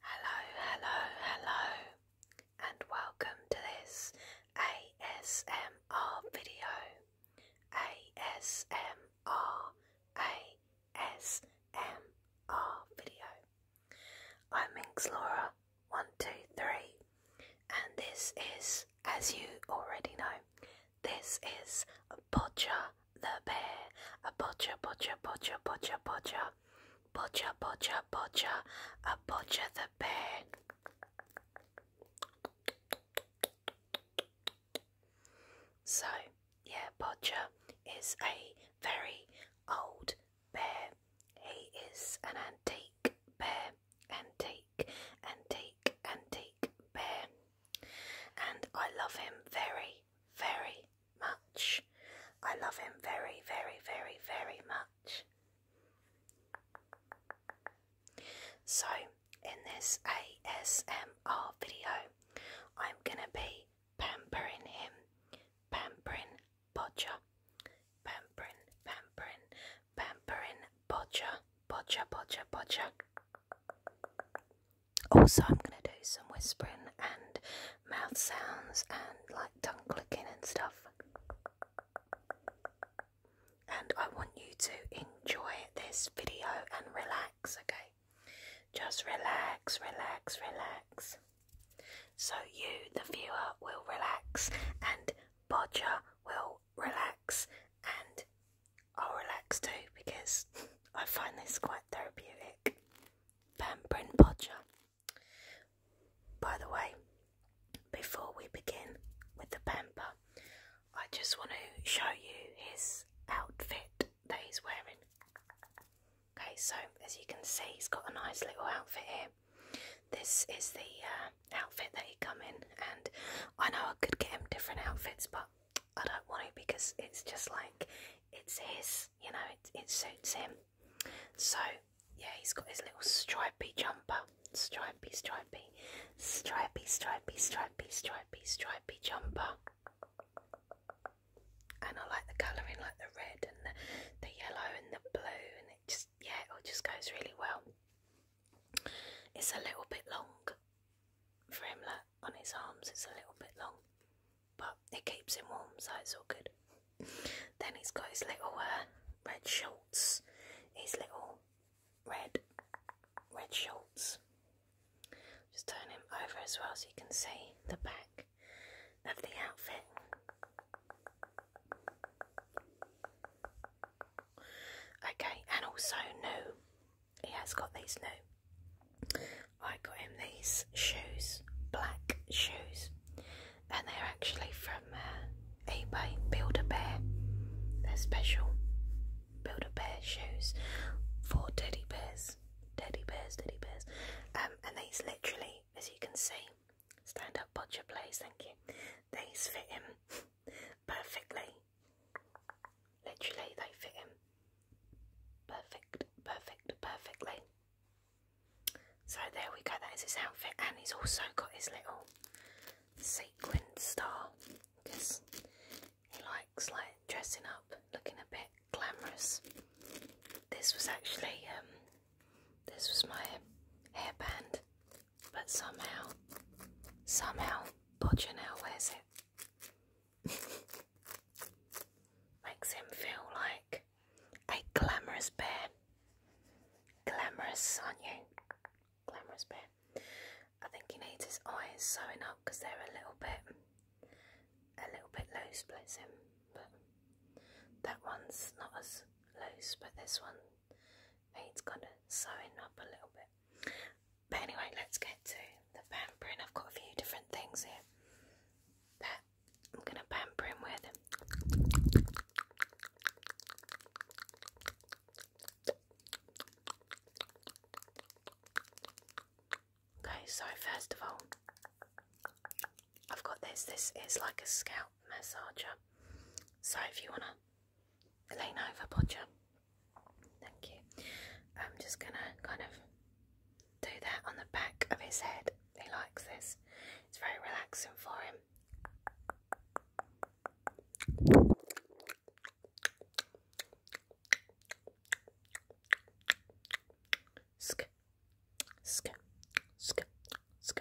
hello, hello, and welcome to this ASMR video. ASMR, ASMR video. I'm Inxlora123, and this is, as you already know, this is Bodger the bear. A bodger, bodger, bodger, bodger, bodger. Bodger, bodger, bodger. A bodger the bear. So, yeah, Bodger is a very old bear. He is an antique bear bear and take and take and take bear. And I love him very, very much. I love him very, very, very, very much. So, in this ASMR video, I'm gonna be pampering him, pampering Bodger, pampering, pampering, pampering bodger, bodger, bodger, bodger. Also, I'm going to do some whispering and mouth sounds and like tongue clicking and stuff. And I want you to enjoy this video and relax, okay? Just relax, relax, relax. So you, the viewer, will relax and Bodger will relax and I'll relax too because I find this quite therapeutic. Pampering Bodger. By the way, before we begin with the pamper, I just want to show you his outfit that he's wearing. Okay, so as you can see, he's got a nice little outfit here. This is the uh, outfit that he come in, and I know I could get him different outfits, but I don't want to because it's just like it's his, you know, it, it suits him. So yeah, he's got his little stripy jumper, stripy, stripy, stripy, stripy, stripy, stripy, stripy jumper. And I like the colouring, like the red and the, the yellow and the blue, and it just yeah, it all just goes really well. It's a little bit long for him, on his arms, it's a little bit long, but it keeps him warm, so it's all good. then he's got his little uh, red shorts, his little red red shorts. Just turn him over as well so you can see the back of the outfit. Okay, and also new. He has got these new. I got him these shoes, black shoes, and they're actually from uh, eBay. Build a Bear. They're special. Build a Bear shoes for teddy bears, teddy bears, teddy bears. Um, and these literally, as you can see, Stand up butcher, please. Thank you. These fit him perfectly. Literally, they fit him perfect, perfect, perfectly. So there we go. That is his outfit, and he's also got his little sequin star because he likes like dressing up, looking a bit glamorous. This was actually um, this was my hairband but somehow, somehow, Bojanel wears it. Makes him feel like a glamorous bear. Glamorous, are you? Glamorous bear. I think he needs his eyes sewn up because they're a little bit, a little bit loose, bless him. But that one's not as loose, but this one it's gonna sewn up a little bit. But anyway, let's get to the pampering. I've got a few different things here that I'm gonna pamper him with. Okay, so first of all, I've got this. This is like a scalp massager. So if you wanna lean over, Podger, thank you. I'm just gonna kind of do that on the back of his head. He likes this. It's very relaxing for him. Sk, sk, sk, Going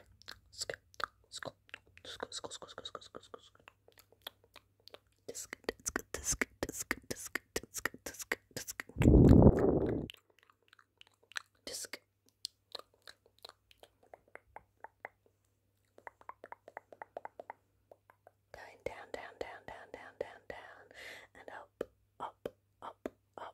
down, down, down, down, down, down, down, and up, up, up, up,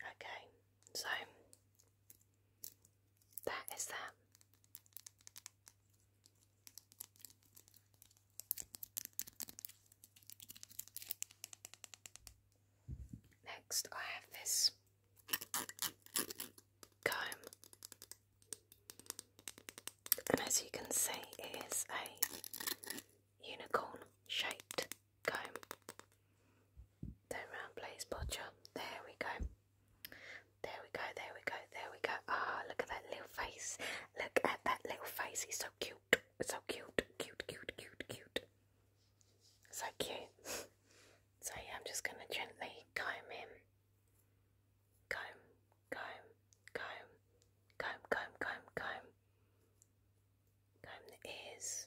Okay, so that is that. Next, I have this comb, and as you can see, it is a unicorn shaped comb. Turn round, please, Bodger. There we go. There we go, there we go, there we go. Ah, oh, look at that little face. Look at that little face. He's so cute. So cute, cute, cute, cute, cute. So cute. So I'm just gonna gently comb him. Comb, comb, comb, comb, comb, comb, comb. Comb the ears.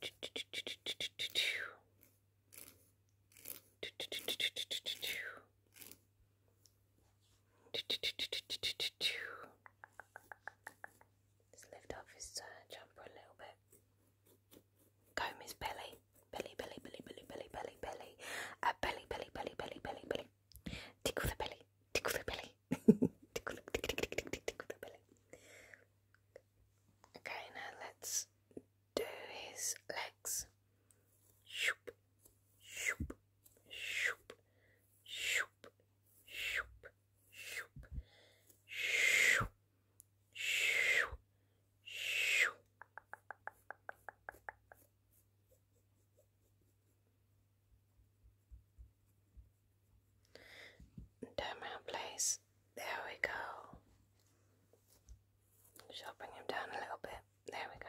Just lift off his uh, jumper a little bit. Comb his belly. Belly, belly, belly, belly, belly, belly, belly. Uh, belly, belly, belly, belly, belly, belly. Tickle the belly. Tickle the belly. tickle, tickle, tickle, tickle, tickle the belly. Okay, now let's do his legs. Terminal place. There we go. Should I bring him down a little bit? There we go.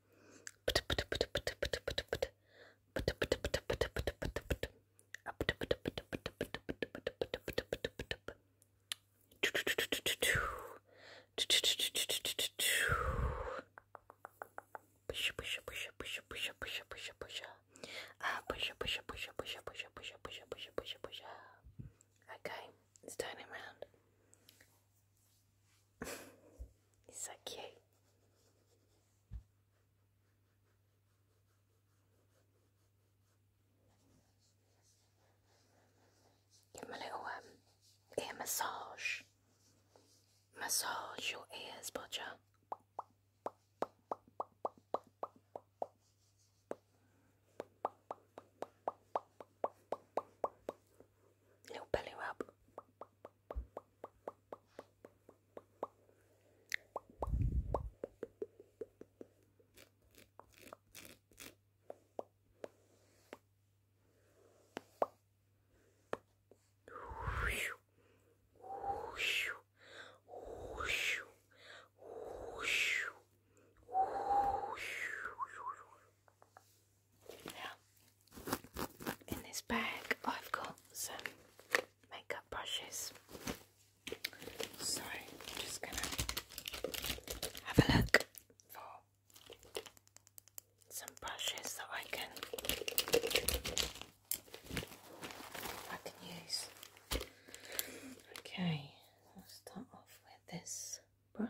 Push, push, push, push, push, push, push, push, ah, push, push, push, push, push, push, push, push, push. Okay, it's turning around. It's okay. Give him a little um, ear massage. Massage your ears, Bodger. Little belly rub in this bag, I've got some makeup brushes. So, I'm just gonna have a look for some brushes that I can I can use. Okay, I'll start off with this brush.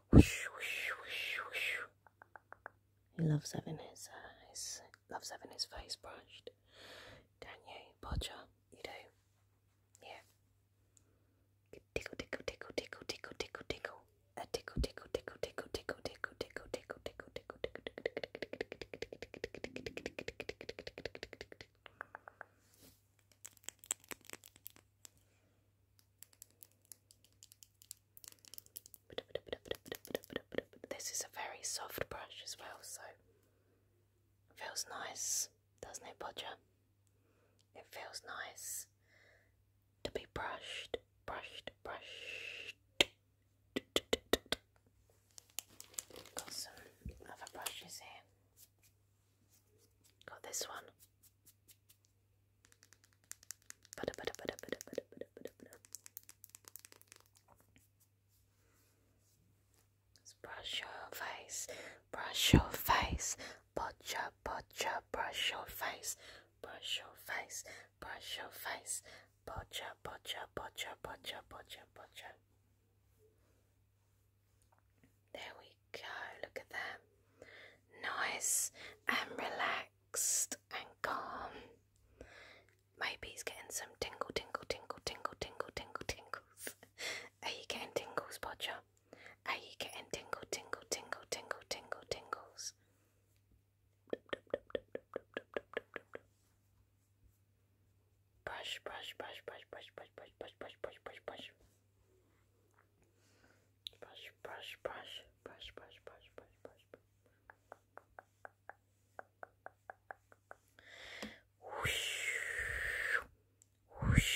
He loves having his, eyes, loves having his face brushed. Don't you, do? Yeah. Tickle, tickle, tickle, tickle, tickle, tickle, tickle. A tickle, tickle, tickle, tickle, tickle, tickle, tickle, tickle, tickle, tickle, tickle, this is a very soft brush as well, so feels nice, doesn't it, Bodger? It feels nice to be brushed, brushed, brushed. Got some other brushes here. Got this one. Brush your face, brush your face, butcher, butcher, brush your face, brush your face, brush your face, butcher, butcher, butcher, butcher, butcher, butcher. There we go, look at that. Nice and relaxed and calm. Maybe he's getting some tingle, tingle, tingle, tingle, tingle, tingle, tingles. Are you getting tingles, Bodger? Are you getting tingle, tingle, tingle, tingle, tingle, tingles? Brush, brush, brush, brush, brush, brush, brush, brush, brush, brush, brush. Brush, brush, brush, brush, brush, brush, brush, brush, brush. Whoosh, whoosh,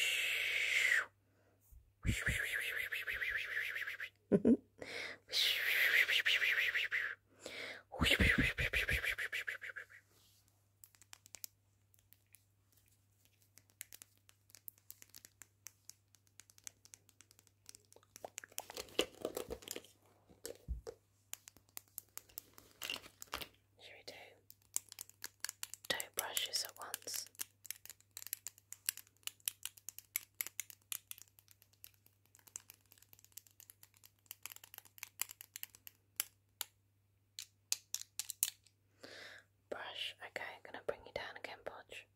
whoosh, whoosh, whoosh, whoosh, whoosh, whoosh, whoosh, whoosh, should we do two brushes at once? Brush. Okay, I'm gonna bring you down again, Podge.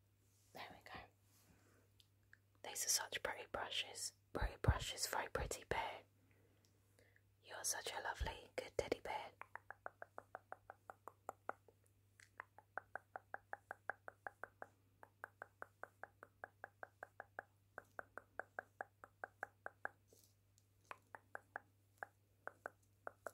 There we go. These are such pretty brushes. Pretty brushes, very pretty bear. You're such a lovely, good teddy bear.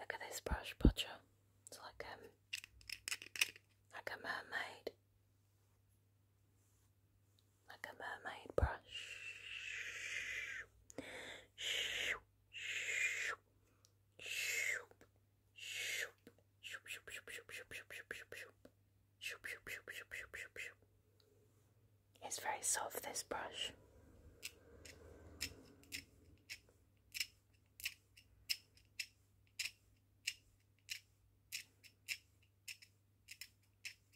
Look at this brush butcher. It's like um like a mermaid like a mermaid brush. It's very soft, this brush.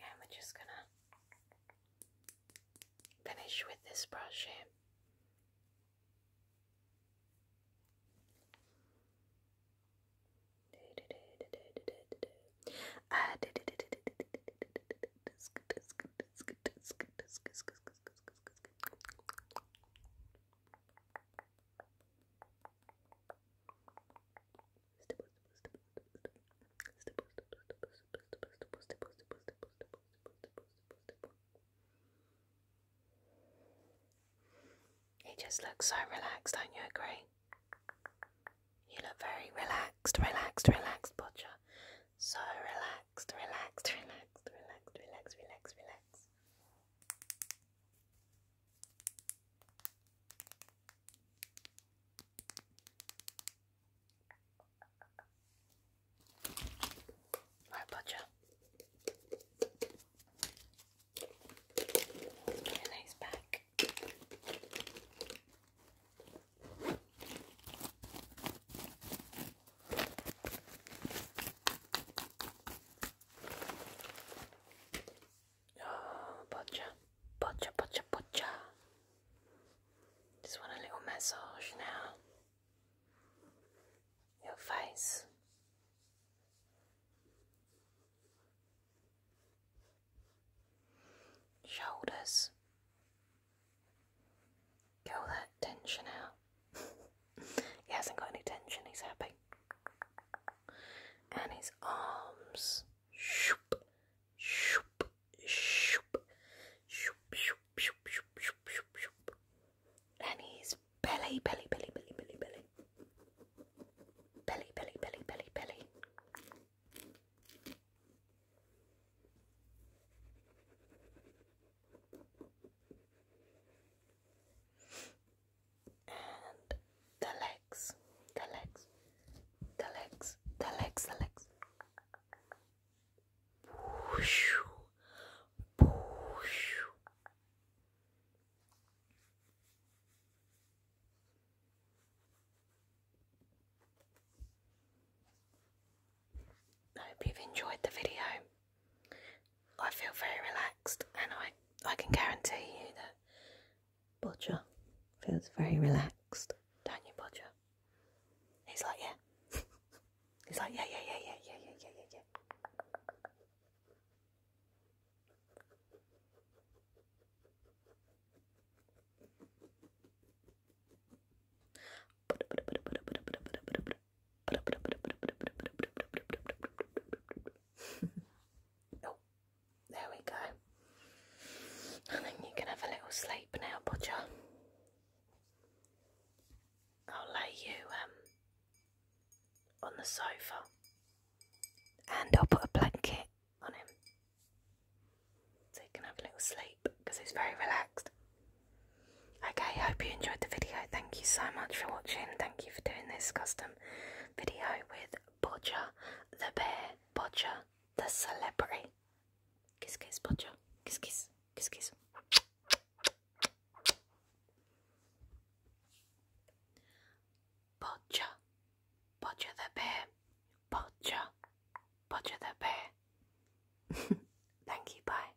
and we're just gonna finish with this brush here. He just looks so relaxed, don't you agree? You look very relaxed, relaxed, relaxed, Butcher. So relaxed, relaxed, relaxed, relaxed, relaxed, relaxed, relaxed. All right, butcher. nice back. Oh, butcher, butcher, butcher, butcher. Just want a little massage now. Your face. Shoulders. Get all that tension out. he hasn't got any tension, he's happy and his arms. Shoop, shoop, shoop, shoop, shoop, shoop, shoop, shoop, shoop, shoop. And his belly, belly, belly, belly, belly, belly. Belly, belly, belly, belly, belly and the legs, the legs, the legs, the legs, the legs. I hope you've enjoyed the video. I feel very relaxed, and I I can guarantee you that Bodger feels very relaxed, don't you, Bodger? He's like, yeah. He's like, yeah, yeah, yeah, yeah, yeah, yeah, yeah, yeah, yeah. oh, there we go. And then you can have a little sleep now, Bodger. I'll lay you um, on the sofa and I'll put a blanket on him. So you can have a little sleep because he's very relaxed. Okay, hope you enjoyed the video. Thank you so much for watching. Thank you for doing this, Custom awesome video with Bodger the bear, Bodger the celebrity. Kiss, kiss, Bodger. Kiss, kiss, kiss, kiss. Bodger, Bodger the bear, Bodger, Bodger the bear. Thank you, bye.